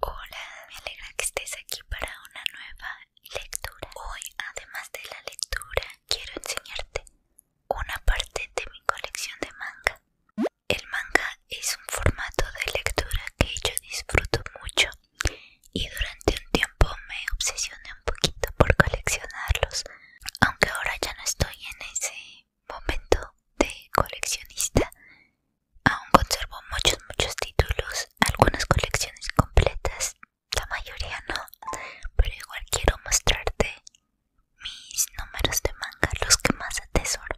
Hola, me alegra que estés aquí para una nueva lectura. Hoy, además de la lectura, quiero enseñarte una parte de mi colección de manga. El manga es un formato de lectura que yo disfruto mucho y durante un tiempo me obsesioné un poquito por coleccionarlos, aunque ahora ya no estoy en ese momento de coleccionista aún conservo muchos muchos títulos algunas colecciones completas la mayoría no pero igual quiero mostrarte mis números de manga los que más atesoro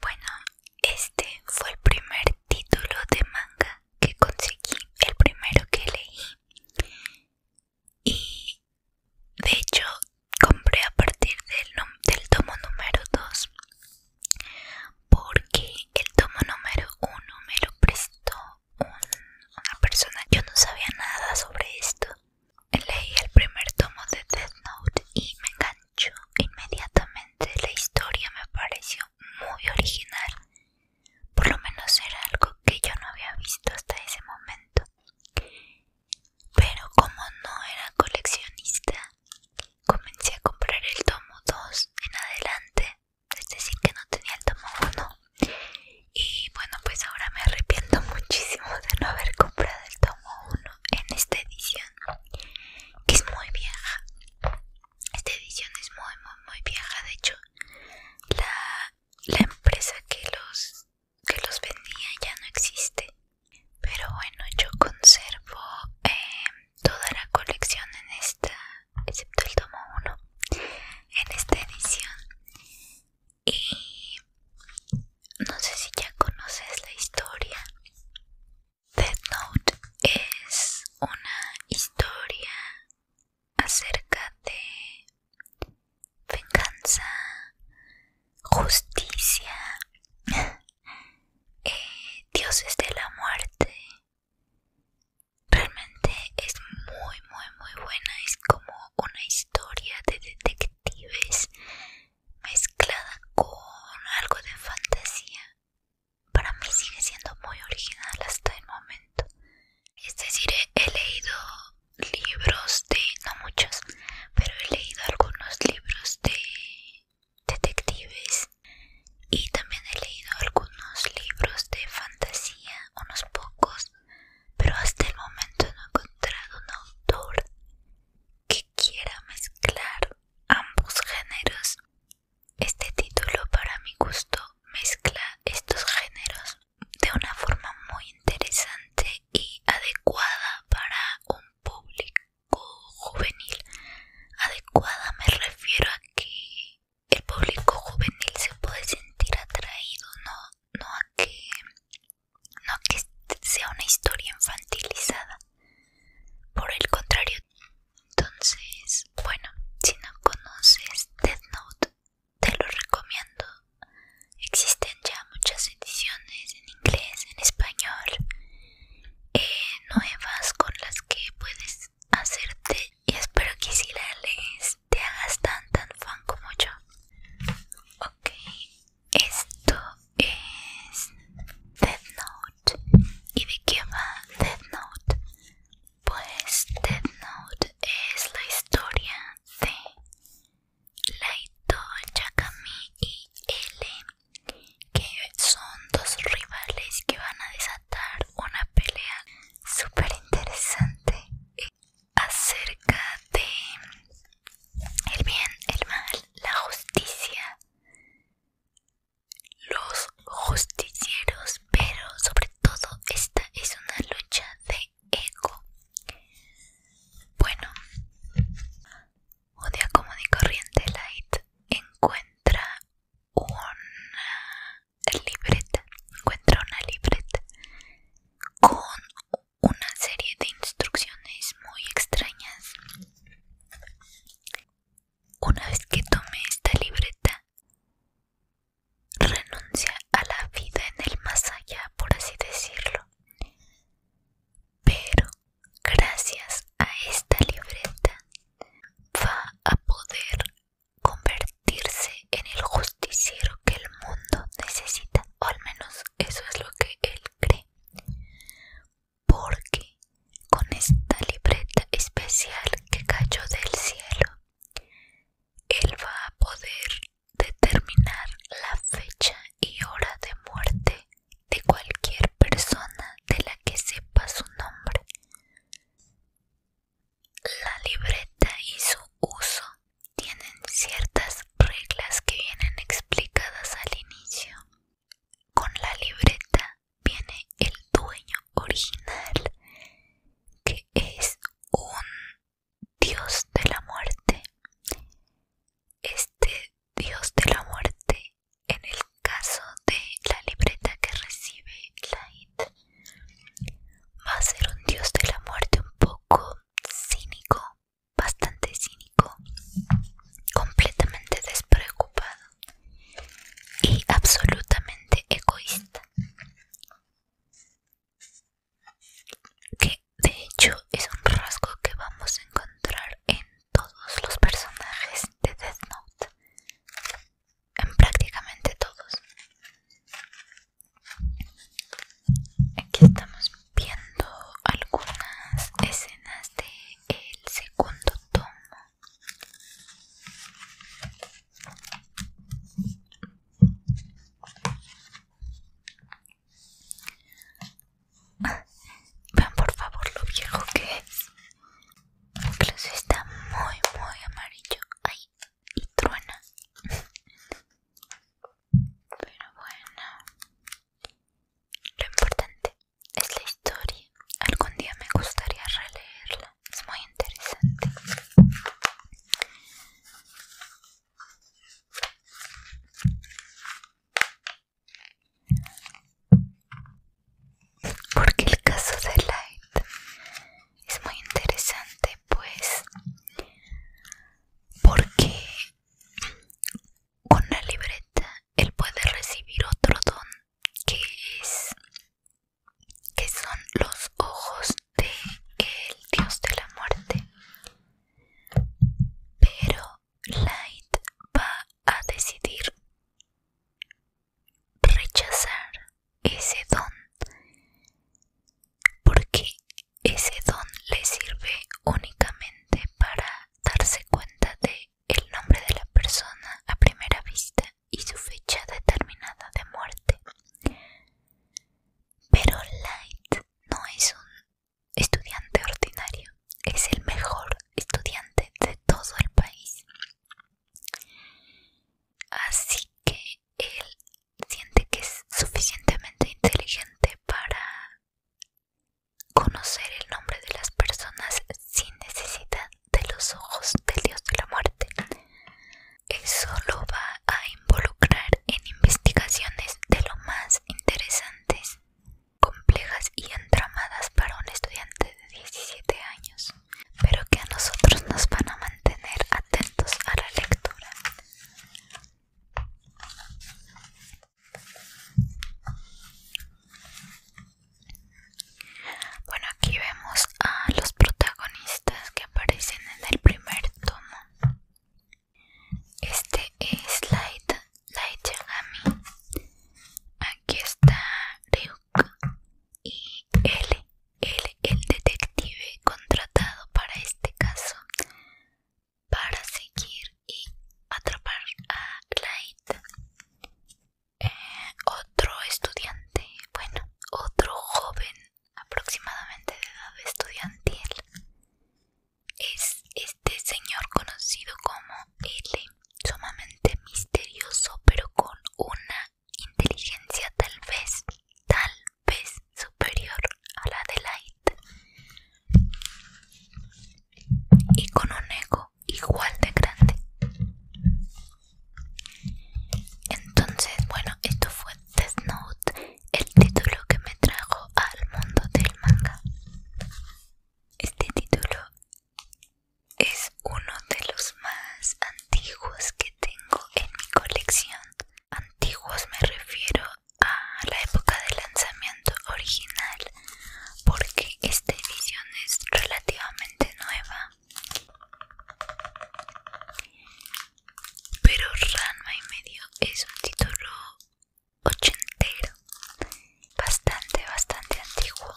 bueno este fue el primer título de manga que conseguí el primero que leí y de hecho compré a partir del, tomo número 2 porque el tomo número 1 me lo prestó una persona yo no sabía nada sobre esto leí el primer tomo de Death Note y me enganchó inmediatamente la historia me pareció muy original por lo menos era algo que yo no había visto hasta ese momento. Pero como no era coleccionista, comencé a comprar el tomo 2 en adelante, es decir, que no tenía el tomo 1. Y bueno, pues ahora me arrepiento muchísimo de no haber comprado el tomo 1 en esta edición, que es muy vieja. Esta edición es muy, muy, muy vieja. De hecho, la la empresa que los que los vendía ya no existe pero bueno yo conservo em, toda la colección en esta excepto el tomo 1 en esta edición y no sé si ya conoces la historia Death Note es una historia acerca de venganza, justicia, eh, dioses de la muerte. Realmente es muy, muy, muy buena. Es como una historia de detectives mezclada con algo de fantasía. Para mí sigue siendo muy original hasta el momento. Es decir, he leído libros de, no muchos, pero he leído algunos libros de detectives y también he leído algunos libros de fantasía, unos pocos, pero hasta el momento no he encontrado un autor que quiera mezclar ambos géneros. Este título para mi gusto mezcla estos géneros de una forma muy interesante y adecuada para un público juvenil. Adecuada me refiero a que el público juvenil se puede sentir atraído, no, no a que no a que sea una historia infantilizada. Por el contrario, entonces, bueno, si no conoces Death Note, te lo recomiendo. Existen ya muchas ediciones en inglés, en español, eh, nuevas con las que puedes hacerte y espero que si la lees te hagas tan tan fan como yo. Ok, esto es Death Note. ¿Y de qué va Death Note? Pues Dead Note es la historia de Laito, Yakami y L, que son dos rivales que van a desatar una pelea súper interesante acerca de el bien, el mal, la justicia. Los justicieros pero sobre todo esta es una lucha de ego. Bueno, odia común y corriente light encuentra una libreta, encuentra una libreta con una serie de instrucciones muy extrañas. Una vez que tome esta libreta, renuncia a la vida en el más allá, por así decirlo. Pero gracias a esta libreta va a poder convertirse en el justiciero que el mundo necesita, o al menos eso es lo que él cree. Porque con esta libreta especial que cayó del cielo, él va a poder determinar la fecha y hora de muerte de cualquier persona de la que sepa su nombre. La libreta y su uso tienen ciertas reglas que vienen explicadas al inicio. Con la libreta viene el dueño original, que es un dios de la muerte. Este dios de la muerte, en el caso de la libreta que recibe Light va a ser un dios de la muerte un poco cínico, bastante cínico, completamente despreocupado y absolutamente egoísta que de hecho es un rasgo que vamos a encontrar en todos los personajes de Death Note, en prácticamente todos. Aquí estamos viendo algunas escenas del segundo tomo. Vean por favor lo viejo que es. Incluso está muy, muy amarillo. Ay, y truena. Pero bueno, lo importante es la historia. Algún día me gustaría releerla. Es muy interesante. Porque el caso de Light es muy interesante, pues, porque con la libreta él puede recibir otro don que es que son los ojos de el dios de la muerte pero Light va a decidir rechazar ese don porque ese don le sirve únicamente para darse cuenta de el nombre de la persona a primera vista y su fecha determinada de muerte. Pero Light no es un estudiante ordinario, es el mejor estudiante de todo el país. Así que él siente que es suficientemente inteligente para conocer el nombre de las personas sin necesidad de los ojos del dios de la muerte. Eso lo va a involucrar en investigaciones de lo más interesantes, complejas y entramadas para un estudiante de 17 años, pero que a nosotros nos van a mantener atentos a la lectura. Bueno, aquí vemos a los protagonistas que aparecen en el primer tomo. Este es Light, Light Yagami. Aquí está Ryuk y L, el detective contratado para este caso, para seguir y atrapar a Light. Eh, otro estudiante bueno, otro joven aproximadamente de edad estudiantil. Es este señor conocido como L, sumamente misterioso, pero con una inteligencia tal vez, tal vez superior a la de Light. Y con un ego igual de grande. Entonces, bueno, esto fue Death Note, el título que me trajo al mundo del manga. Este título es uno de los más antiguos que tengo en mi colección. Antiguos me refiero a la época de lanzamiento original porque esta edición es relativamente nueva pero Ranma y medio es un título ochentero, bastante, bastante antiguo.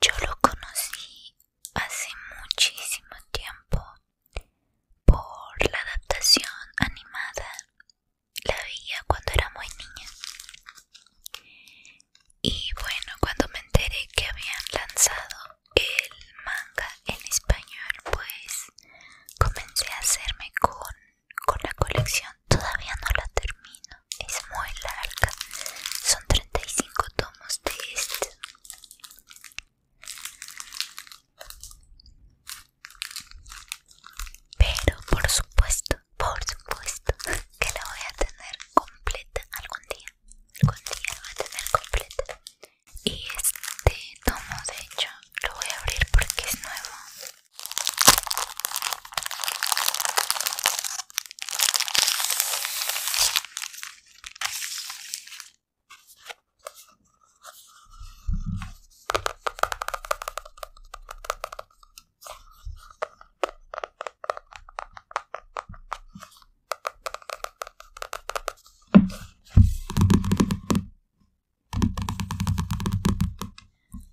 Yo lo conocí hace muchísimo tiempo por la adaptación animada. La veía cuando era muy niña. Y bueno, cuando me enteré que habían lanzado el manga en español, pues comencé a hacerme con, con la colección. Todavía no la termino, es muy larga. Son 35 tomos de este. Pero por supuesto, por supuesto que la voy a tener completa algún día algún día va a tener completo y este tomo de hecho lo voy a abrir porque es nuevo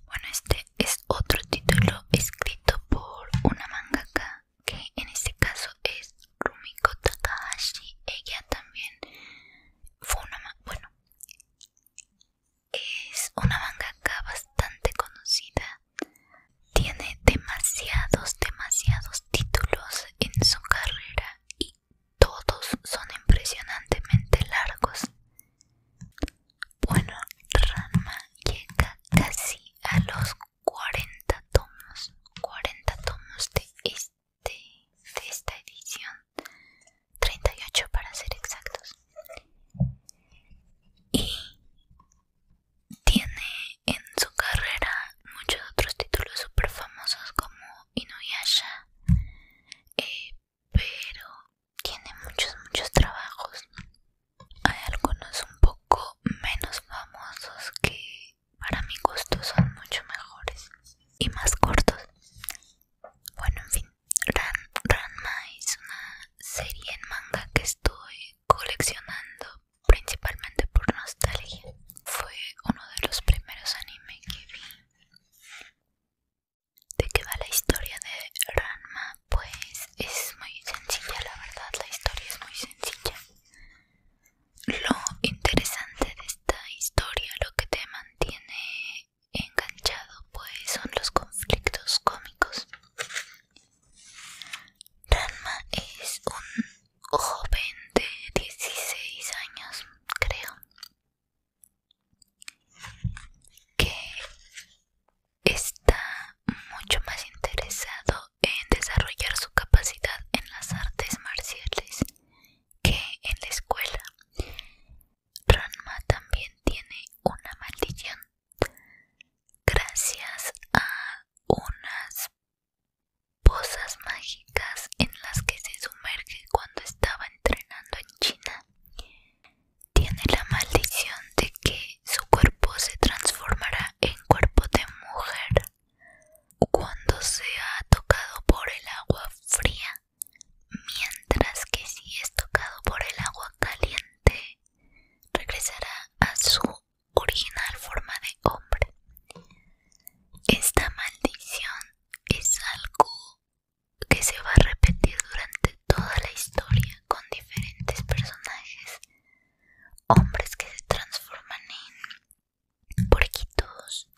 bueno, este es otro título escrito por una mangaka que en este caso es Rumiko Takahashi. Ella también fue una mangaka, bueno, es una mangaka bastante conocida tiene demasiados, demasiados títulos en su carrera y todos son impresionantemente largos. Bueno, rama llega casi a los 40 tomos, 40 tomos de, este, esta edición, 38 para ser exactos. Y tiene en su carrera muchos otros títulos super famosos como Inuyasha, eh, pero tiene muchos, muchos trabajos. Hay algunos un poco menos famosos que para mi gusto son mucho mejores y más cortos. Bueno, en fin, Ranma es una serie en manga que estoy coleccionando principalmente por nostalgia. Fue uno de los primeros anime que vi. ¿De qué va la historia de Ranma? Pues es muy sencilla, la verdad, la historia es muy sencilla. Lo interesante de esta historia, lo que te mantiene enganchado, pues son los conflictos cómicos. Ranma es un joven de 16 años, creo, que está mucho más interesado en desarrollar su capacidad en las artes marciales que en la escuela. Ranma también tiene una maldición. Gracias a unas pozas mágicas en las que se sumerge cuando estaba entrenando en China. Tiene la maldición de que su cuerpo se transformará en cuerpo de mujer cuando sea tocado por el agua fría, mientras que si es tocado por el agua caliente regresará a su original forma de hombre. Esta maldición es algo que se va a repetir durante toda la historia con diferentes personajes, hombres que se transforman en porquitos,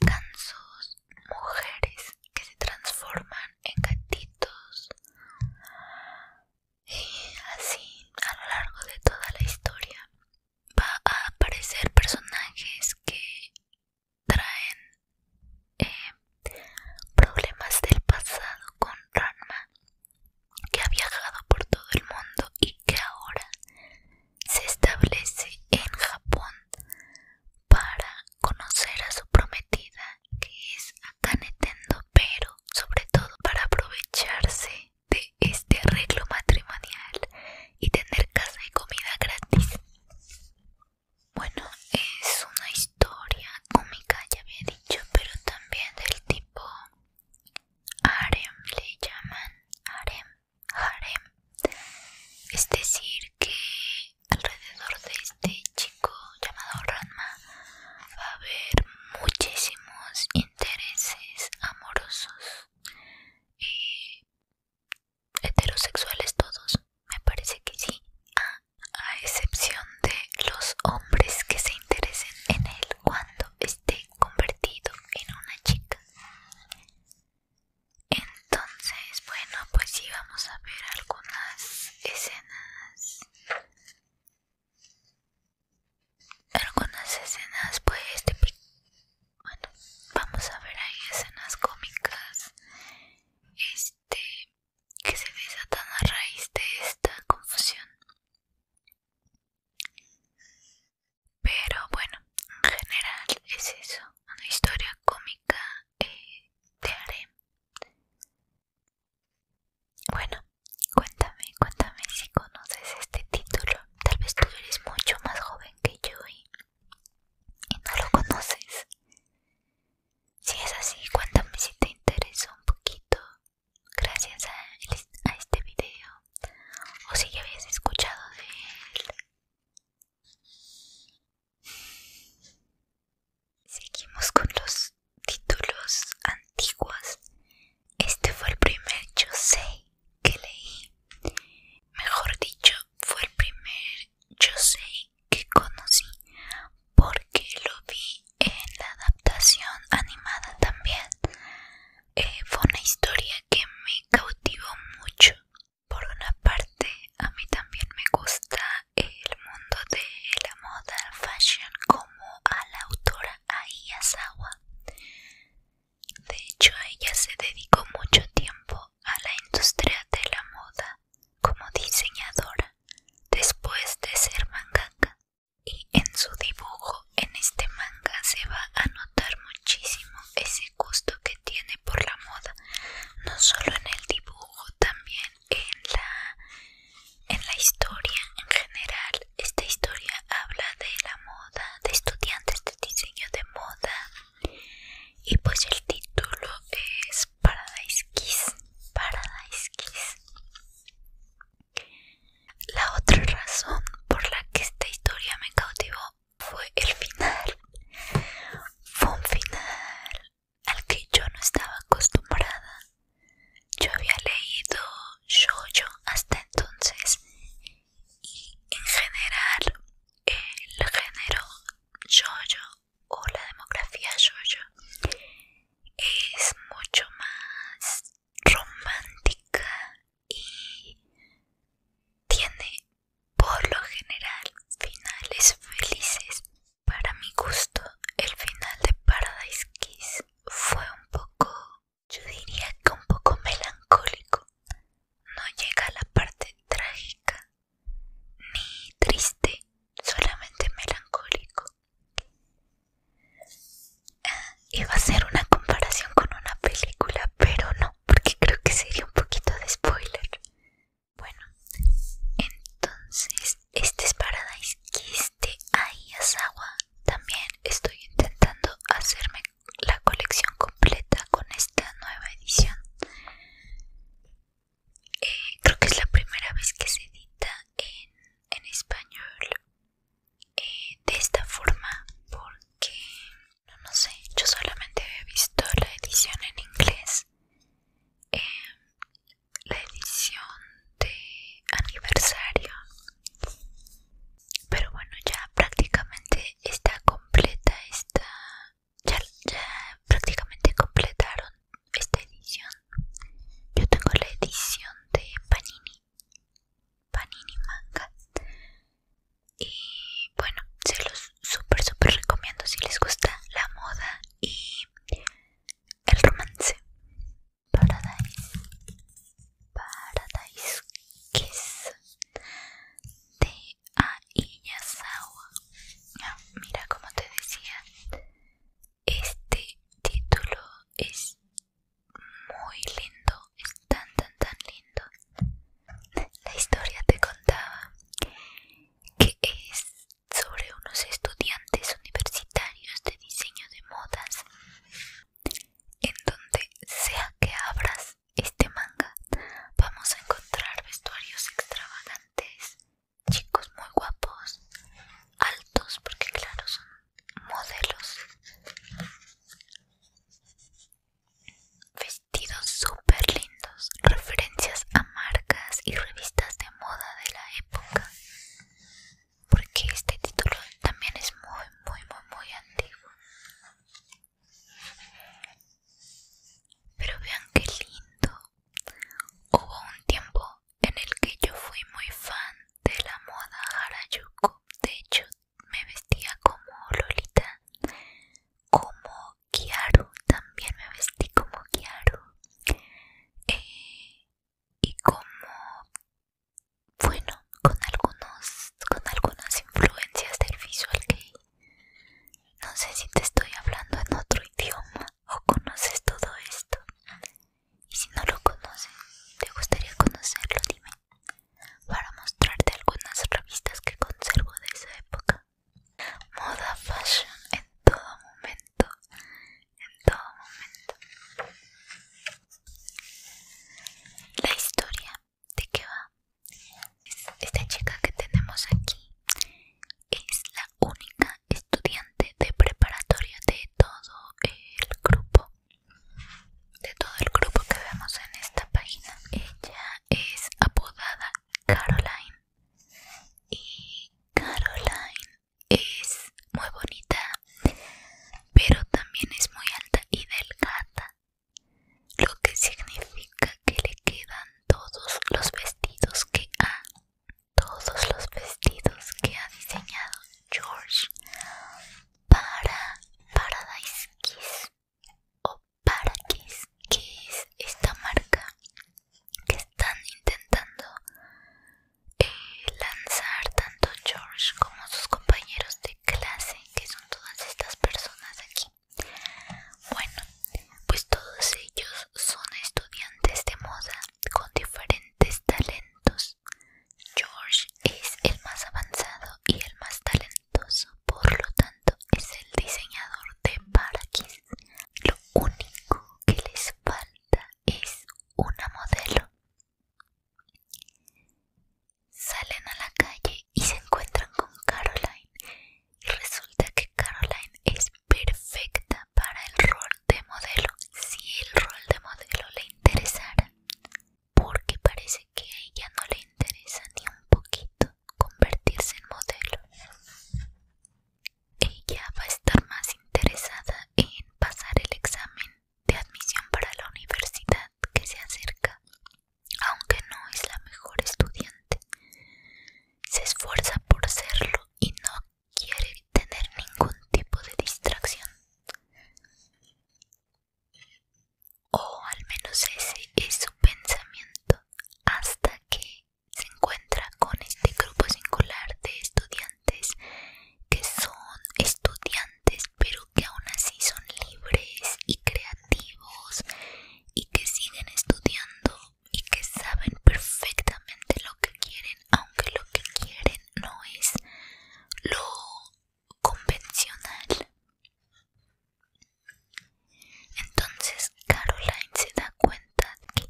gansos, mujeres que se transforman en gatitos, y así a lo largo de toda la historia va a aparecer personajes que traen eh, problemas del pasado con Ranma que ha viajado por todo el mundo y que ahora se establece en Japón para conocer a su prometida que es Akane Tendo pero sobre todo para aprovecharse de este arreglo matrimonial y tener casa y comida gratis. Bueno, es una historia cómica, ya había dicho, pero también del tipo harem, le llaman harem, harem. Es decir, que alrededor de este chico llamado Ranma va a haber muchísimos intereses amorosos heterosexuales todos me parece que sí a excepción de los hombres que se interesen en él cuando esté convertido en una chica entonces bueno pues sí vamos a ver algunas escenas algunas escenas pues bueno vamos a ver ahí escenas cómicas este que se desatan a raíz de esta confusión pero bueno en general es eso una historia cómica te eh, de bueno, cuéntame, cuéntame si conoces este título. Tal vez tú eres mucho más joven que yo y, no lo conoces. Si es así, cuéntame si te interesó un poquito gracias a, a este video o si ya habías escuchado de él. Seguimos con los títulos antiguos, este fue el primer yo sé que leí. Mejor dicho, fue el primer yo sé que conocí porque lo vi en la adaptación animada también. Eh, fue una historia que me cautivó mucho. Por una parte, a mí también me gusta el mundo de la moda fashion como a la autora Aiyazawa De hecho, ella se dedicó mucho tiempo a la industria de la moda como diseñadora después de ser mangaka. Y en su dibujo en este manga se va a notar muchísimo ese gusto que tiene por la moda, no solo en el dibujo, también en la en la historia en general, esta historia habla de la moda, de estudiantes de diseño de moda. Y pues el título es Paradise Kiss. Paradise Kiss. La otra razón por la que esta historia me cautivó fue el final. Fue un final al que yo no estaba acostumbrada. Yo había leído yo hasta entonces y en general el género yo o la demografía yo es mucho más romántica y tiene por lo general finales felices. Para mi gusto, el final de Paradise Kiss fue un poco, yo diría que un poco melancólico. No llega a la parte trágica ni triste, solamente melancólico. Eh, iba a ser una comparación con una película, pero no, porque creo que sería un poquito de spoiler. Bueno, entonces, este es Paradise Kiss de este, Ayasawa. También estoy intentando hacerme la colección completa con esta nueva edición. Eh, creo que es la primera vez que se edita en, español eh, de esta forma porque no, sé, yo solamente he visto la edición en inglés. Em, la edición de aniversario pero bueno ya prácticamente está completa esta ya, prácticamente completaron esta edición yo tengo la edición de panini panini manga y bueno se los super super recomiendo si les gusta la moda y el romance Paradise Paradise Kiss de Aiyazawa ah, Mira como te decía Este título es muy lindo Es tan tan tan lindo La historia te contaba Que es sobre unos estudiantes universitarios de diseño de modas en donde sea que abras este manga vamos a encontrar vestuarios extravagantes chicos muy guapos altos porque claro son modelos vestidos súper lindos referencias a marcas y revistas de moda de la época porque este título también es muy muy muy muy antiguo pero vean qué lindo hubo un tiempo en el que yo fui muy fan de la moda harajuku de hecho me vestía como lolita como kiaru también me vestí como kiaru eh, y como bueno con algunos con algunas influencias del visual gay no sé si te estoy hablando en otro idioma o conoces todo esto y si no lo conoces te gustaría conocerlo dime para mostrarte algunas revistas que conservo de esa época moda fashion en todo momento en todo momento. La historia de que va. Esta chica que tenemos aquí es la única estudiante de preparatoria de todo el grupo. De todo el grupo que vemos en esta página. Ella es apodada Caroline. Y Caroline es muy bonita, pero también es muy alta y delgada, lo que significa que le quedan todos los vestidos que ha, todos los vestidos que ha diseñado George para Paradise Kiss o para Kiss, que es esta marca que están intentando lanzar tanto George como sus compañeros de clase, que son todas estas personas aquí. Bueno, pues todos ellos son estudiantes de moda con diferentes talentos. George es el más avanzado y el más talentoso, por lo tanto es el diseñador de paraquis. Lo único que les falta es una modelo. Salen a la calle y se encuentran con Caroline. Y resulta que Caroline es perfecta para el rol de modelo. Si el rol de modelo le interesara, porque parece que a ella no le interesa ni un poquito convertirse en modelo. Ella va a estar más interesada en pasar el examen de admisión para la universidad que se acerca, aunque no es la mejor estudiante. Se esfuerza por serlo y no quiere tener ningún tipo de distracción. O al menos ese es su pensamiento hasta que se encuentra con este grupo singular de estudiantes que son estudiantes pero que aún así son libres y creativos y que siguen estudiando y que saben perfectamente lo que quieren aunque lo que quieren no es lo convencional entonces Caroline se da cuenta que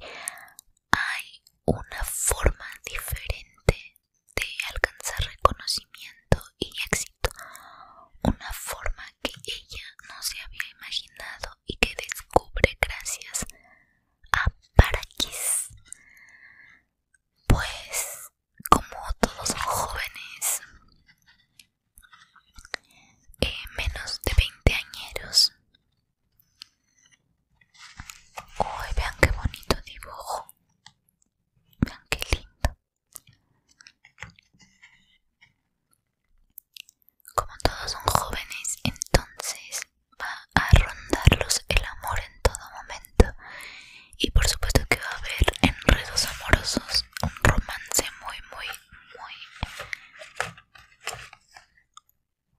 hay una forma diferente de alcanzar reconocimiento y éxito, una forma que ella no se había imaginado y que descubre gracias a Parakis. Pues, como todos los jóvenes, eh, menos de 20 añeros, Uy, vean qué bonito dibujo. Vean qué lindo. Como todos son jóvenes, entonces va a rondarlos el amor en todo momento. Y por supuesto que va a haber enredos amorosos, un romance muy, muy, muy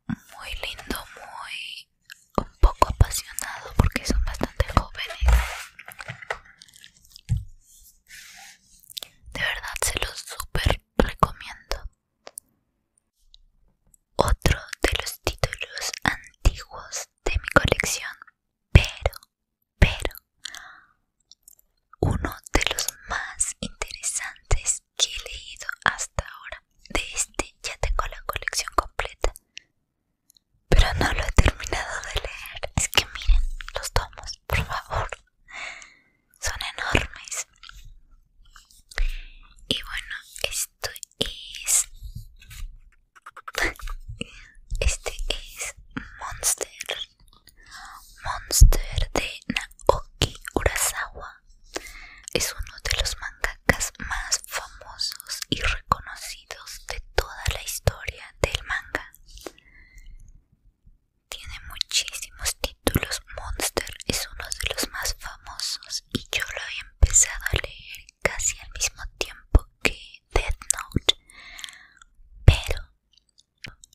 muy lindo, muy un poco apasionado porque son bastante jóvenes. De verdad se los super recomiendo. Otro de los títulos antiguos de mi colección, pero, pero, uno de los más interesantes que he leído hasta ahora. De este ya tengo la colección completa. Pero no lo he terminado de leer. Es que miren los tomos, por favor. Son enormes. Y bueno, esto es... Este es Monster. Monster de Naoki Urasawa es uno de los mangakas más famosos y reconocidos de toda la historia del manga. Tiene muchísimos títulos. Monster es uno de los más famosos y yo lo he empezado a leer casi al mismo tiempo que Death Note. Pero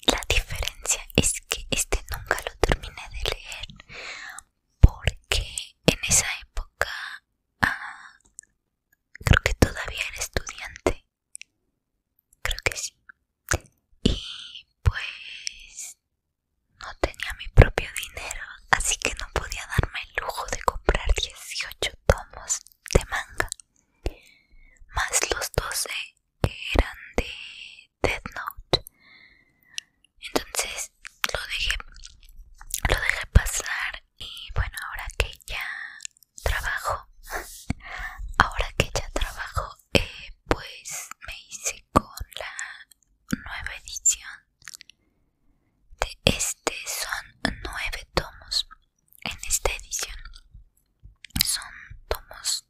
la diferencia es que este nunca lo terminé de leer porque en esa época ah, creo que todavía era estudiante creo que sí y pues no tenía mi propio dinero así que no podía darme el lujo de comprar 18 tomos de manga más los 12 que eran de Death Note. Entonces lo dejé, lo dejé pasar y bueno, ahora que ya trabajo, ahora que ya trabajo, eh, pues me hice con la nueva edición de este. Son nueve tomos en esta edición. Son tomos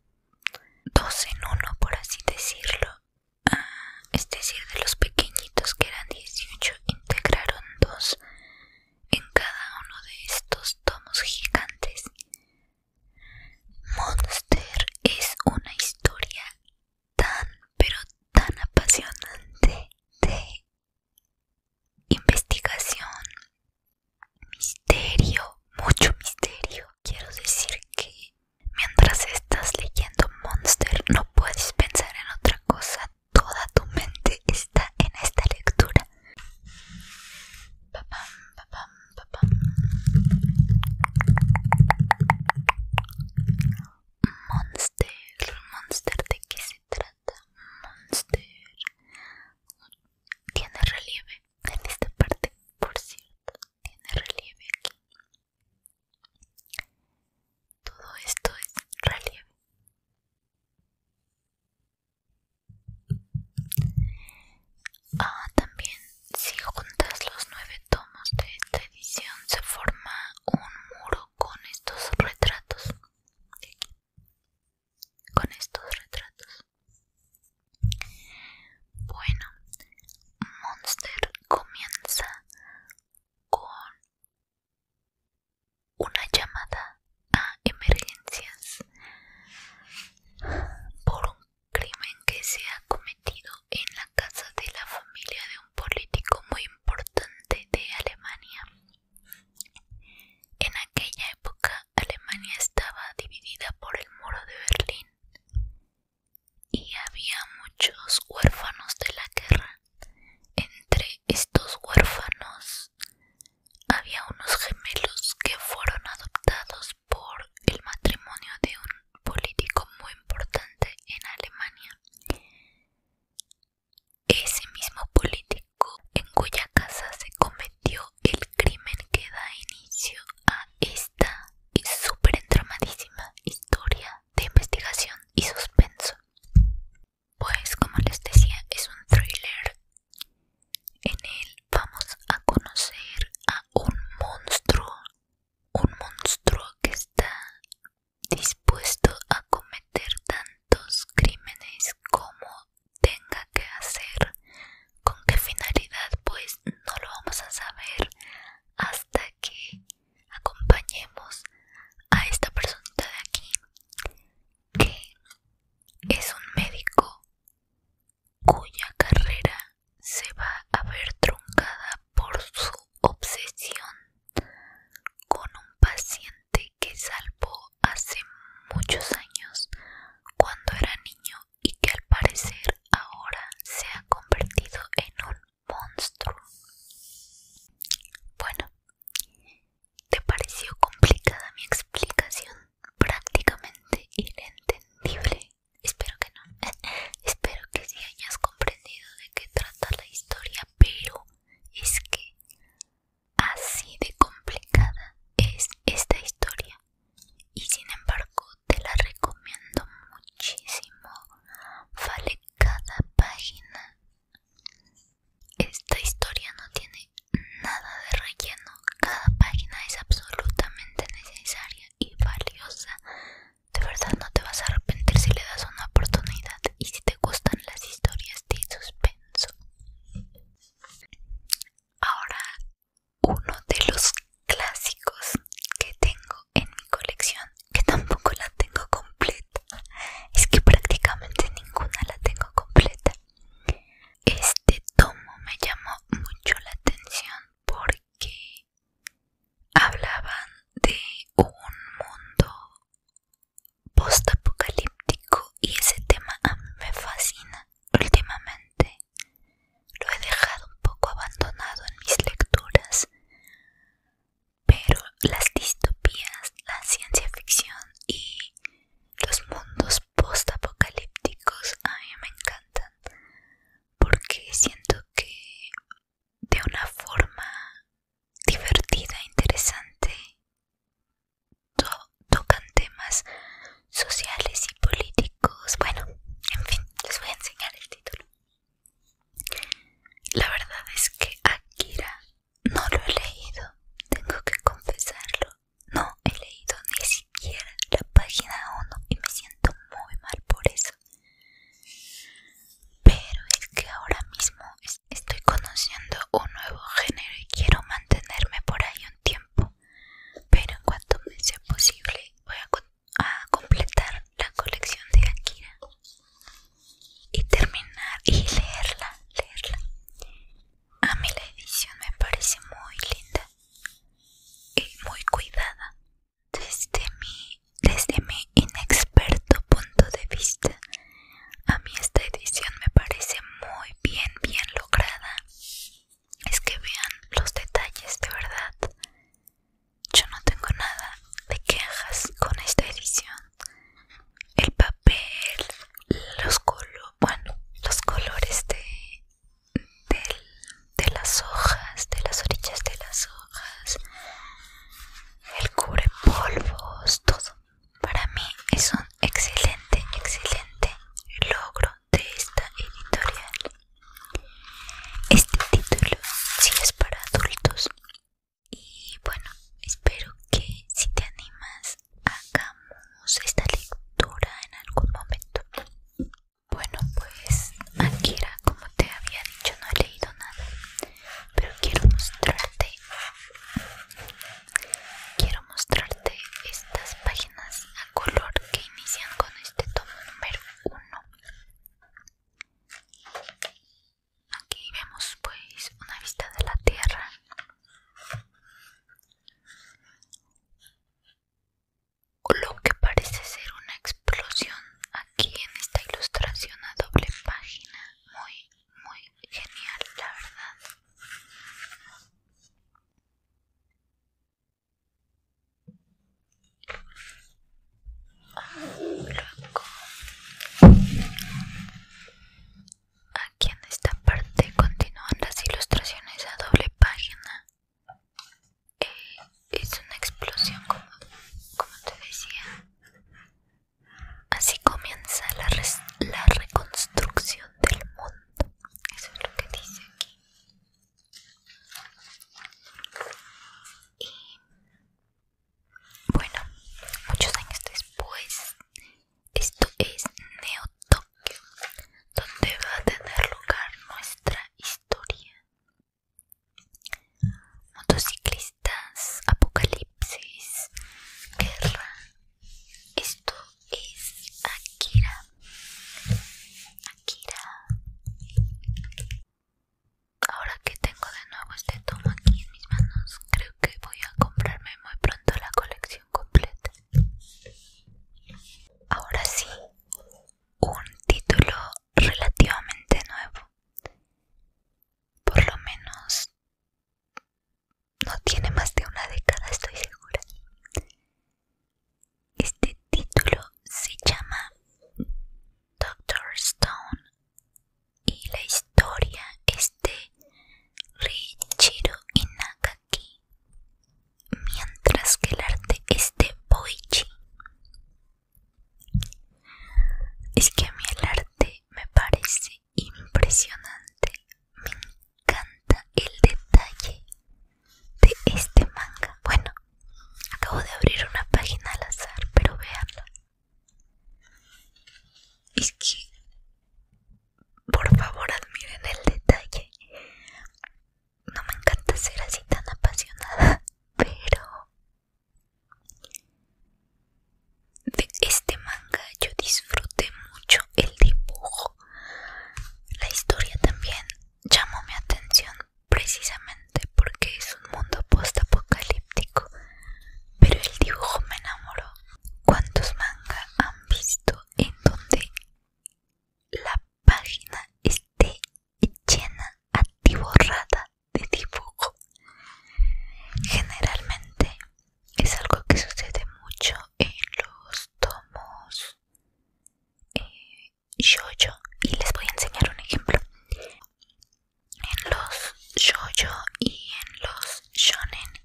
dos en uno, por así decirlo ah, es decir, de los pequeñitos que eran 18, integraron dos en cada uno de estos tomos gigantes. Monster es una historia tan, pero tan apasionante de investigación, misterio, mucho misterio. Quiero decir que Mientras estás leyendo Monster no puedes pensar en otra cosa. Toda tu mente está en esta lectura. Monster, Monster, ¿de qué se trata? Monster tiene relieve en esta parte, por cierto, tiene relieve aquí. Todo esto es relieve. Ah, también si juntas los nueve tomos de esta edición se forma un muro con estos retratos. Con estos retratos. Bueno, Monster comienza con una llamada a emergencias por un crimen que se ha cometido en la casa de la familia de un político muy importante de Alemania. En aquella época Alemania estaba dividida por el muro de Berlín y había muchos huérfanos de la guerra. Entre estos huérfanos había unos gemelos que fueron adoptados por el matrimonio de un político muy importante en Alemania. Ese mismo político en cuya casa se cometió el crimen que da inicio a este esta y súper entramadísima historia de investigación y suspenso. Pues como les decía, es un thriller. En él vamos a conocer a un monstruo, un monstruo que está dispuesto a cometer tantos crímenes como tenga que hacer. ¿Con qué finalidad? Pues pues, no lo vamos a saber hasta que acompañemos a esta persona de aquí que es un médico cuya carrera se va a ver truncada por su obsesión con un paciente que salvó hace muchos años cuando era niño y que al parecer ahora se ha convertido en un monstruo. Bueno, ¿te pareció complicada mi explicación? Prácticamente inentendible. Espero que no. Espero que sí hayas comprendido de qué trata la historia, pero es que así de complicada es esta historia y sin embargo te la recomiendo muchísimo vale cada página esta historia no tiene nada de relleno cada página es absolutamente necesaria y valiosa de verdad no te vas a arrepentir si le das una oportunidad y si te gustan las historias de suspenso. Ahora uno de los clásicos que tengo en mi colección, que tampoco la tengo completa, es que prácticamente ninguna la tengo completa. Este tomo me llamó mucho la atención porque hablaban de un mundo post-apocalíptico y ese tema me fascina últimamente lo he dejado un poco abandonado en mis lecturas, pero las distopías, la ciencia ficción y los mundos postapocalípticos a mí me encantan porque siento que de una forma divertida, e interesante, tocan temas sociales y políticos bueno, en fin, les voy a enseñar el título. La verdad es que Akira no lo he leído, tengo que confesarlo. No he leído ni siquiera la página 1 y me siento muy mal por eso. Pero es que ahora mismo estoy conociendo un nuevo género y quiero mantenerme por ahí un tiempo. Pero en cuanto me sea posible, voy a continuar a completar la colección de Akira y terminar y leerla, leerla. A mí la edición me parece muy linda y muy cuidada. Desde mi, desde mi inexperto punto de vista, a mí esta edición me parece muy bien, bien lograda es que vean los detalles de verdad. Yo no tengo nada de quejas con esta edición. El papel, los colores, los colores de, de, las hojas, de las orillas de las hojas, el cubre polvos, todo. Para mí es un excelente, excelente logro de esta editorial. Este título sí es para adultos y bueno, espero que si te animas hagamos esta lectura en algún momento. Bueno, pues aquí era como te había dicho, no he leído nada, pero quiero mostrarte quiero mostrarte estas páginas a color que inician con este tomo número 1 Aquí vemos pues una vista de la Tierra. Lo que parece ser una explosión aquí en esta ilustración a doble página. Muy, muy genial, la verdad. Aquí en esta parte continúan las ilustraciones a doble página. Eh, es una explosión, como, te decía. Así comienza la, la reconstrucción del mundo. Eso es lo que dice aquí. Y bueno, muchos años después, esto es Neo donde va a tener lugar nuestra historia. Motociclistas, apocalipsis, guerra. Esto es Akira. Ahora que tengo de nuevo este tomo aquí en mis manos, creo que voy a comprarme muy pronto la colección completa. Ahora sí, un título relativamente nuevo. Por lo menos no tiene más de una década, estoy segura. Este título se llama Doctor Stone y la historia es de Richiro Inagaki, mientras que el arte es de Boichi. Es que a mí el arte me parece impresionante, me encanta el detalle de este manga. Bueno, acabo de abrir una página al azar, pero veanlo Es que, por favor, admiren el detalle. No me encanta ser así tan apasionada, pero de este manga yo disfruté mucho el dibujo. La historia también llamó mi atención precisamente porque es un mundo postapocalíptico, pero el dibujo me enamoró. ¿Cuántos manga han visto en donde la página esté llena, atiborrada de dibujo? Generalmente es algo que sucede mucho en los tomos yo-yo y les voy a enseñar un ejemplo. En los yo-yo y en los shonen,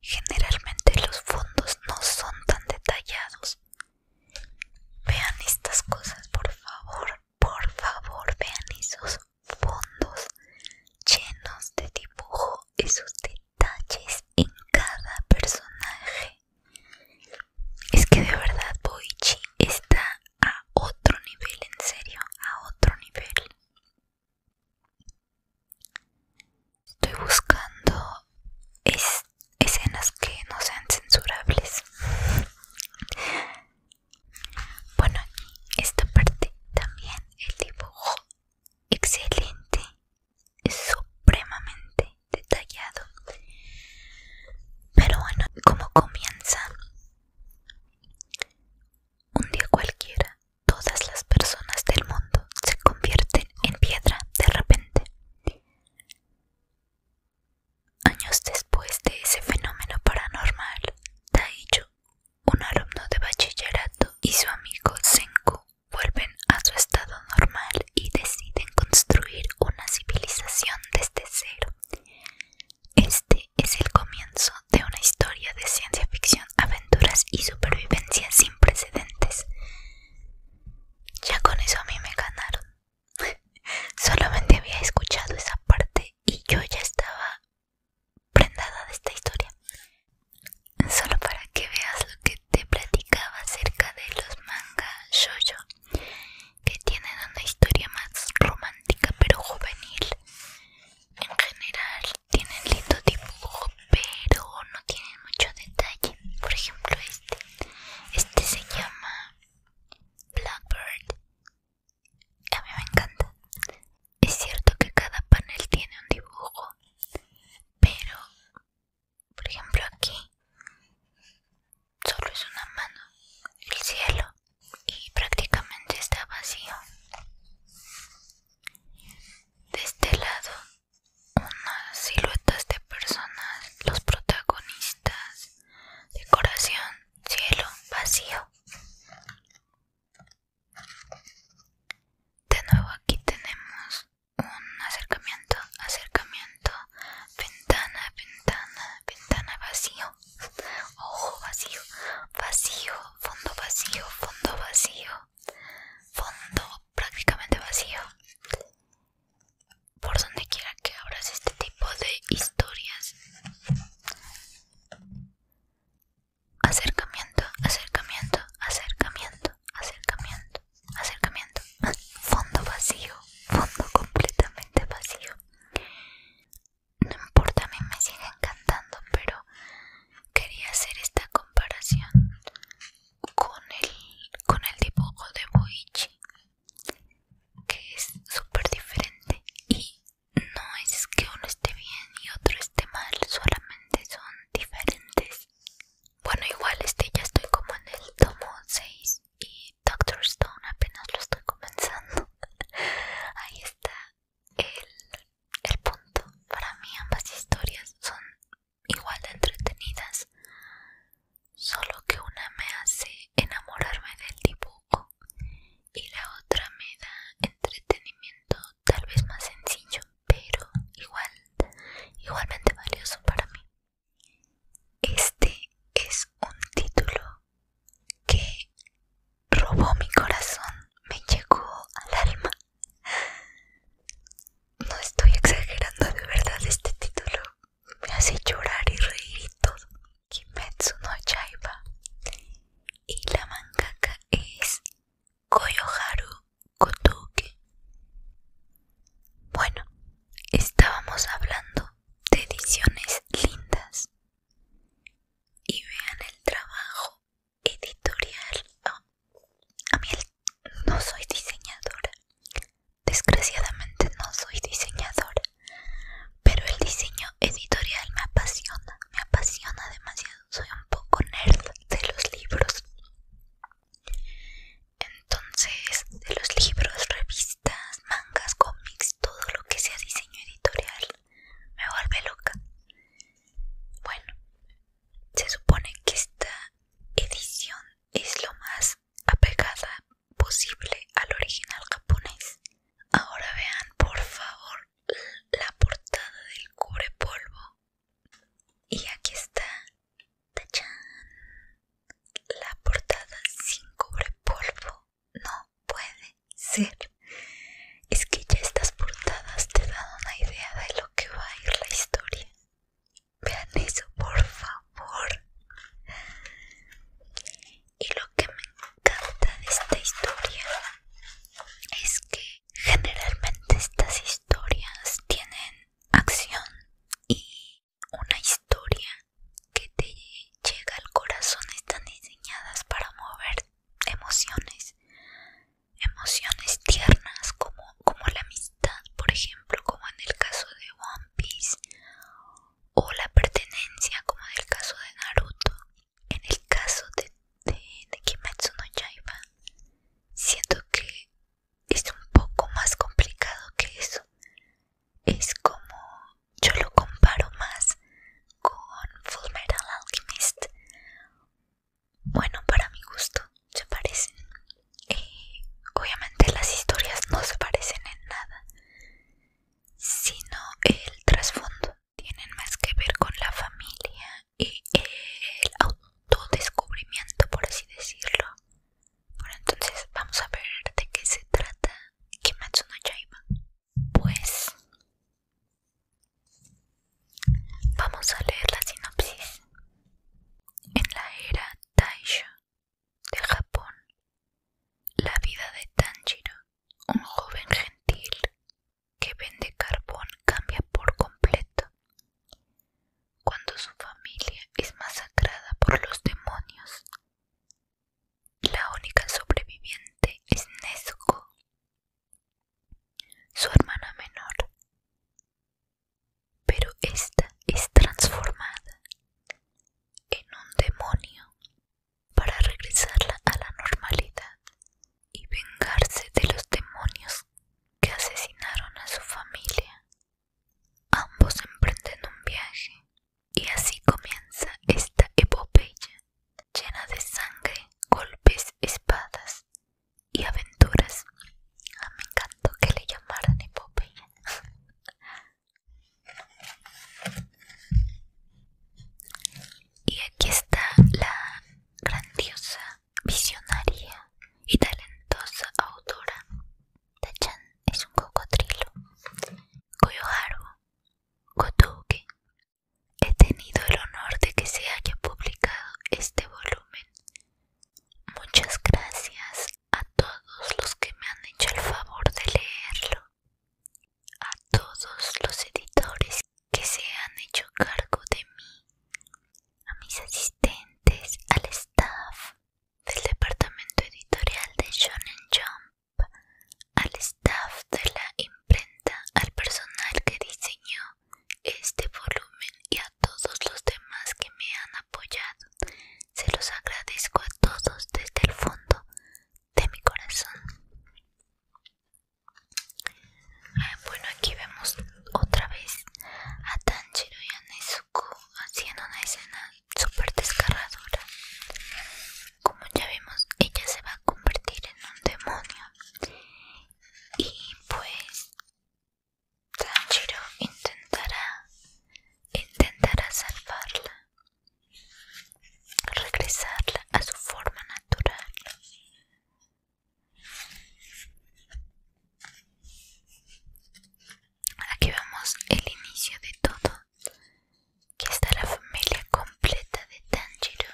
generalmente los fondos no son tan detallados. Vean estas cosas, por favor, por favor, vean esos fondos llenos de dibujo, esos detalles en cada personaje. Es que de verdad Boichi está a otro nivel, en serio, a otro nivel. Estoy buscando escenas que no sean censurables. Bueno, aquí esta parte también el dibujo excelente es supremamente detallado. Pero bueno, ¿cómo comienza? Un día cualquiera, todas las personas del mundo se convierten en piedra de repente. Años después de ese fenómeno paranormal, Taicho, un alumno de bachillerato, y su amigo Senku vuelven a su estado normal y deciden construir una civilización desde cero. Este es el comienzo de una historia de ciencia ficción, aventuras y supervivencia sin precedentes. Ya con eso a mí me ganaron. Solamente había escuchado esa parte y yo ya estaba prendada de esta historia. Solo para que veas lo que te platicaba acerca de los manga shoujo que tienen una historia más romántica pero juvenil. En general tienen lindo dibujo pero no tienen mucho detalle. Por ejemplo este. Este se llama Blackbird. A mí me encanta. Es cierto que cada panel tiene un dibujo, pero por ejemplo aquí solo es una mano el cielo y prácticamente está vacío de este lado unas siluetas de personas los protagonistas decoración cielo vacío de nuevo aquí tenemos un acercamiento, acercamiento, ventana, ventana, ventana vacío, ojo vacío, vacío, fondo vacío, fondo vacío, fondo prácticamente vacío. Por donde quiera que abras este tipo de historias. Acercamiento, acercamiento, acercamiento, acercamiento acercamiento fondo vacío fondo completamente vacío no importa a mí me sigue encantando pero quería hacer esta comparación con el con el dibujo de Boichi que es súper diferente y no es que uno esté bien y otro esté mal solamente son diferentes bueno, igual este ya estoy como en el tomo 6 y Doctor Stone apenas lo estoy comenzando. Ahí está el, el punto. Para mí ambas historias son igual de entretenidas, solo que una me hace enamorarme del dibujo y la otra me da entretenimiento tal vez más sencillo, pero igual igualmente valioso para mí. Este es un título que robó mi corazón, me llegó al alma. No estoy exagerando, de verdad este título me hace llorar y reír y todo. Kimetsu no Yaiba y la mangaka es Koyoharu bueno, estábamos hablando de ediciones lindas. Y vean el trabajo editorial. Ah, a mí no soy diseñadora. Desgraciadamente no soy diseñadora. Pero el diseño editorial me apasiona. Me apasiona demasiado. Soy un poco nerd de los libros. Entonces, de los libros, revistas, mangas, cómics, todo lo que sea diseño editorial, me vuelve loca. Bueno, se supone que esta edición es lo más apegada posible al original japonés. Ahora vean, por favor, la portada del cubrepolvo y aquí está ¡Tachán! la portada sin polvo, No puede ser. Es que ya estas portadas te dan una idea de lo que va a ir la historia. Vean eso, por favor. Y lo que me encanta de esta historia es que generalmente estas historias tienen acción y una historia que te llega al corazón están diseñadas para mover emociones emociones tiernas como, como la amistad por ejemplo como en el caso de One Piece o la pertenencia como en el caso de Naruto en el caso de, de, Kimetsu no Yaiba siento que es un poco más complicado que eso. Es como yo lo comparo más con Full Metal Alchemist. Bueno, para mi gusto, se parecen. Eh, obviamente las historias no se parecen en nada, sino el trasfondo. Tienen más que ver con la familia y el autodescubrimiento, por así decirlo. Bueno, entonces vamos a ver de qué se trata Kimetsu no Yaiba. Pues vamos a leer la sinopsis. En la era Taisho de Japón, la vida de Tanjiro, un joven gentil que vende carbón, cambia por completo cuando su familia es masacrada por los demonios. La única sobreviviente es Nezuko, su hermana menor, pero esta es transformada en un demonio para regresarla a la normalidad y vengarse de los demonios que asesinaron a su familia. Ambos emprenden un viaje y así comienza esta epopeya llena de sangre, golpes, espadas y aventuras. Ah, me encantó que le llamaran epopeya. y aquí está la grandiosa visionaria y talentosa autora. Tachan es un cocodrilo. Koyoharu Kotuke. He tenido el honor de que se haya publicado este volumen. Muchas gracias a todos los que me han hecho el favor de leerlo. A todos los editores que se han hecho cargo de mí a mis asistentes, al staff del departamento editorial de Shonen Jump, al staff de la imprenta, al personal que diseñó este volumen y a todos los demás que me han apoyado. Se los agradezco a todos desde el fondo de mi corazón. bueno, aquí vemos otra vez a Tanjiro y a Nezu haciendo una escena súper desgarradora. Como ya vimos, ella se va a convertir en un demonio. Y pues Tanjiro intentará intentará salvarla. Regresarla a su forma natural. Aquí vemos el inicio de todo. Aquí está la familia completa de Tanjiro.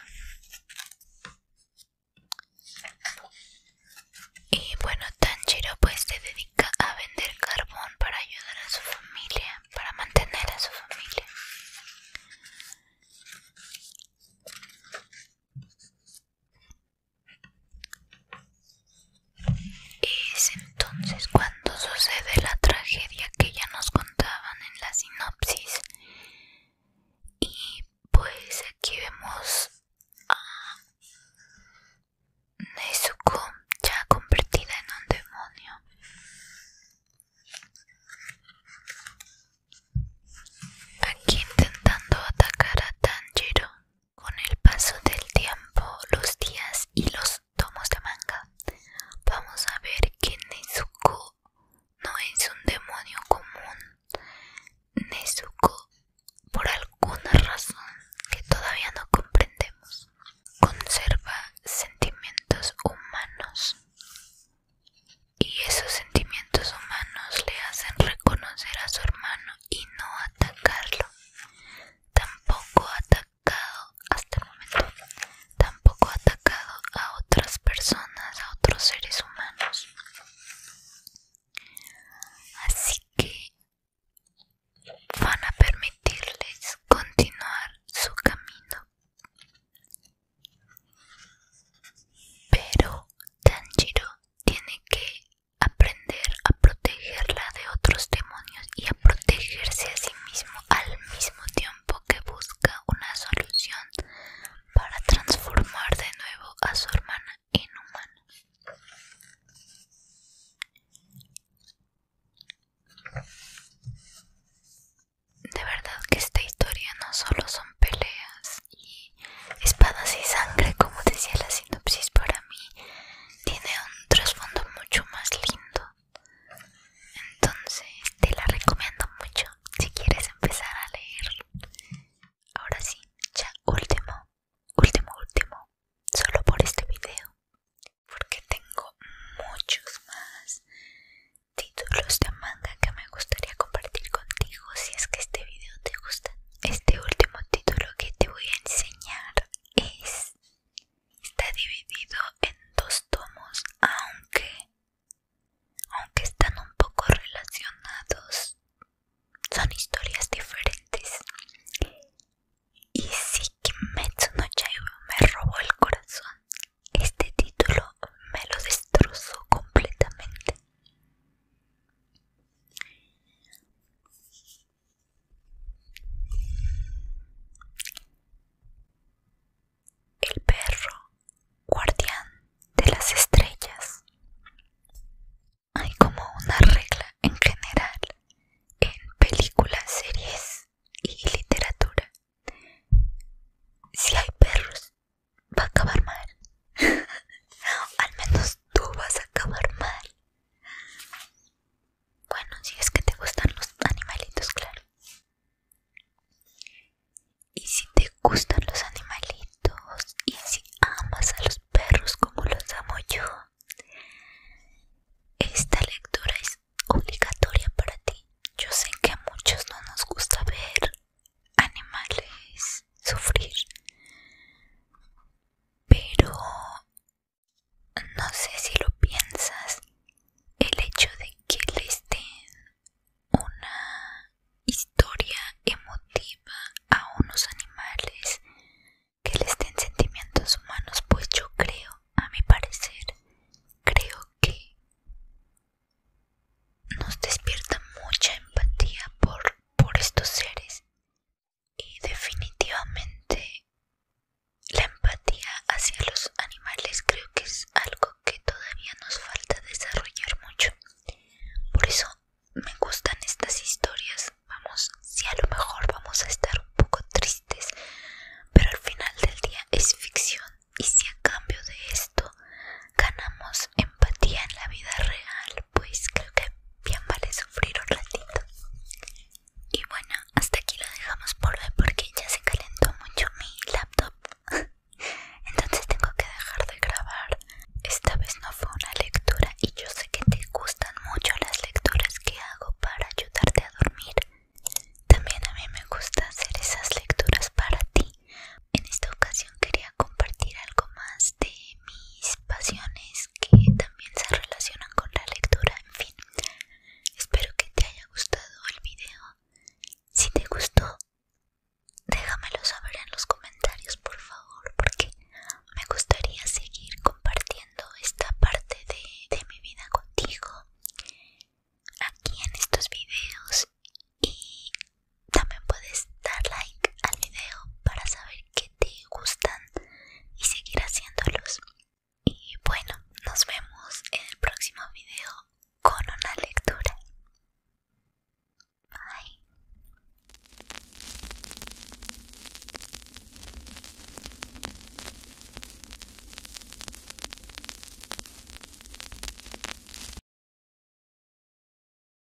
Y bueno, Tanjiro pues se dedica a vender carbón para ayudar a su familia, para mantener a su familia. Es entonces cuando sucede la tragedia que ya nos contaban en la sinopsis. Y pues aquí vemos a Nezuko ya convertida en un demonio. Aquí intentando atacar a Tanjiro. Con el paso del tiempo, los días y los tomos de manga, vamos a ver que Nezuko no es un demonio común. Nezuko, por alguna razón que todavía no comprendemos, conserva sentimientos humanos. Y esos sentimientos humanos le hacen reconocer a su hermano y no atacarlo. Tampoco ha atacado hasta el momento. Tampoco ha atacado a otras personas, a otros seres humanos. Así que van a permitirles continuar su camino. Pero Tanjiro tiene que aprender a protegerla de otros demonios y a protegerse a sí mismo al mismo tiempo que busca una solución para transformar de nuevo a su hermana en humana. De verdad que esta historia no solo son peleas, y espadas y sangre como decía la sinopsis para mí tiene un trasfondo mucho más lindo entonces te la recomiendo mucho si quieres empezar a leer ahora sí ya último último último solo por este video porque tengo muchos más títulos de manga que me gustaría compartir contigo si es que este video te gusta este último título que te voy a enseñar es está dividido en dos tomos, aunque aunque están un poco relacionados. Son historias diferentes. Y si Kimetsu no me robó el corazón, este título me lo destrozó completamente. El perro guardián de las estrellas. Hay como una regla en general en películas, series y literatura. Si hay perros, va a acabar mal. Al menos tú vas a acabar mal. Bueno, si es que te gustan los animalitos, claro. Y si te gustan los animalitos, y si amas a los perros como los amo yo, esta lectura es obligatoria para ti. Yo sé que a muchos no nos gusta ver animales sufrir pero no sé si lo piensas el hecho de que les den una historia emotiva a unos animales que les den sentimientos humanos pues yo creo a mi parecer creo que nos despierta mucha empatía por, por estos seres y definitivamente la empatía hacia los animales creo que es algo que todavía nos falta desarrollar mucho. Por eso me gustan estas historias. Vamos, si a lo mejor vamos a estar un poco tristes, pero al final del día es ficción y si a cambio de esto ganamos empatía en la vida real, pues creo que bien vale sufrir un ratito. Y bueno, hasta aquí lo dejamos por hoy porque ya se calentó mucho mi laptop. Entonces tengo que dejar de grabar. Esta vez no fue una lectura y yo sé que te gustan mucho las lecturas que hago para ayudarte a dormir. También a mí me gusta hacer esas lecturas para ti. En esta ocasión quería compartir algo más de mis pasiones que también se relacionan con la lectura, en fin. Espero que te haya gustado el video. Si te gustó, déjamelo saber en los comentarios, por favor, porque me gustaría seguir compartiendo esta parte de, mi vida contigo aquí en estos videos y también puedes dar like al video para saber que te gustan y seguir haciéndolos. Y bueno, nos vemos en el próximo video con una lectura. Bye.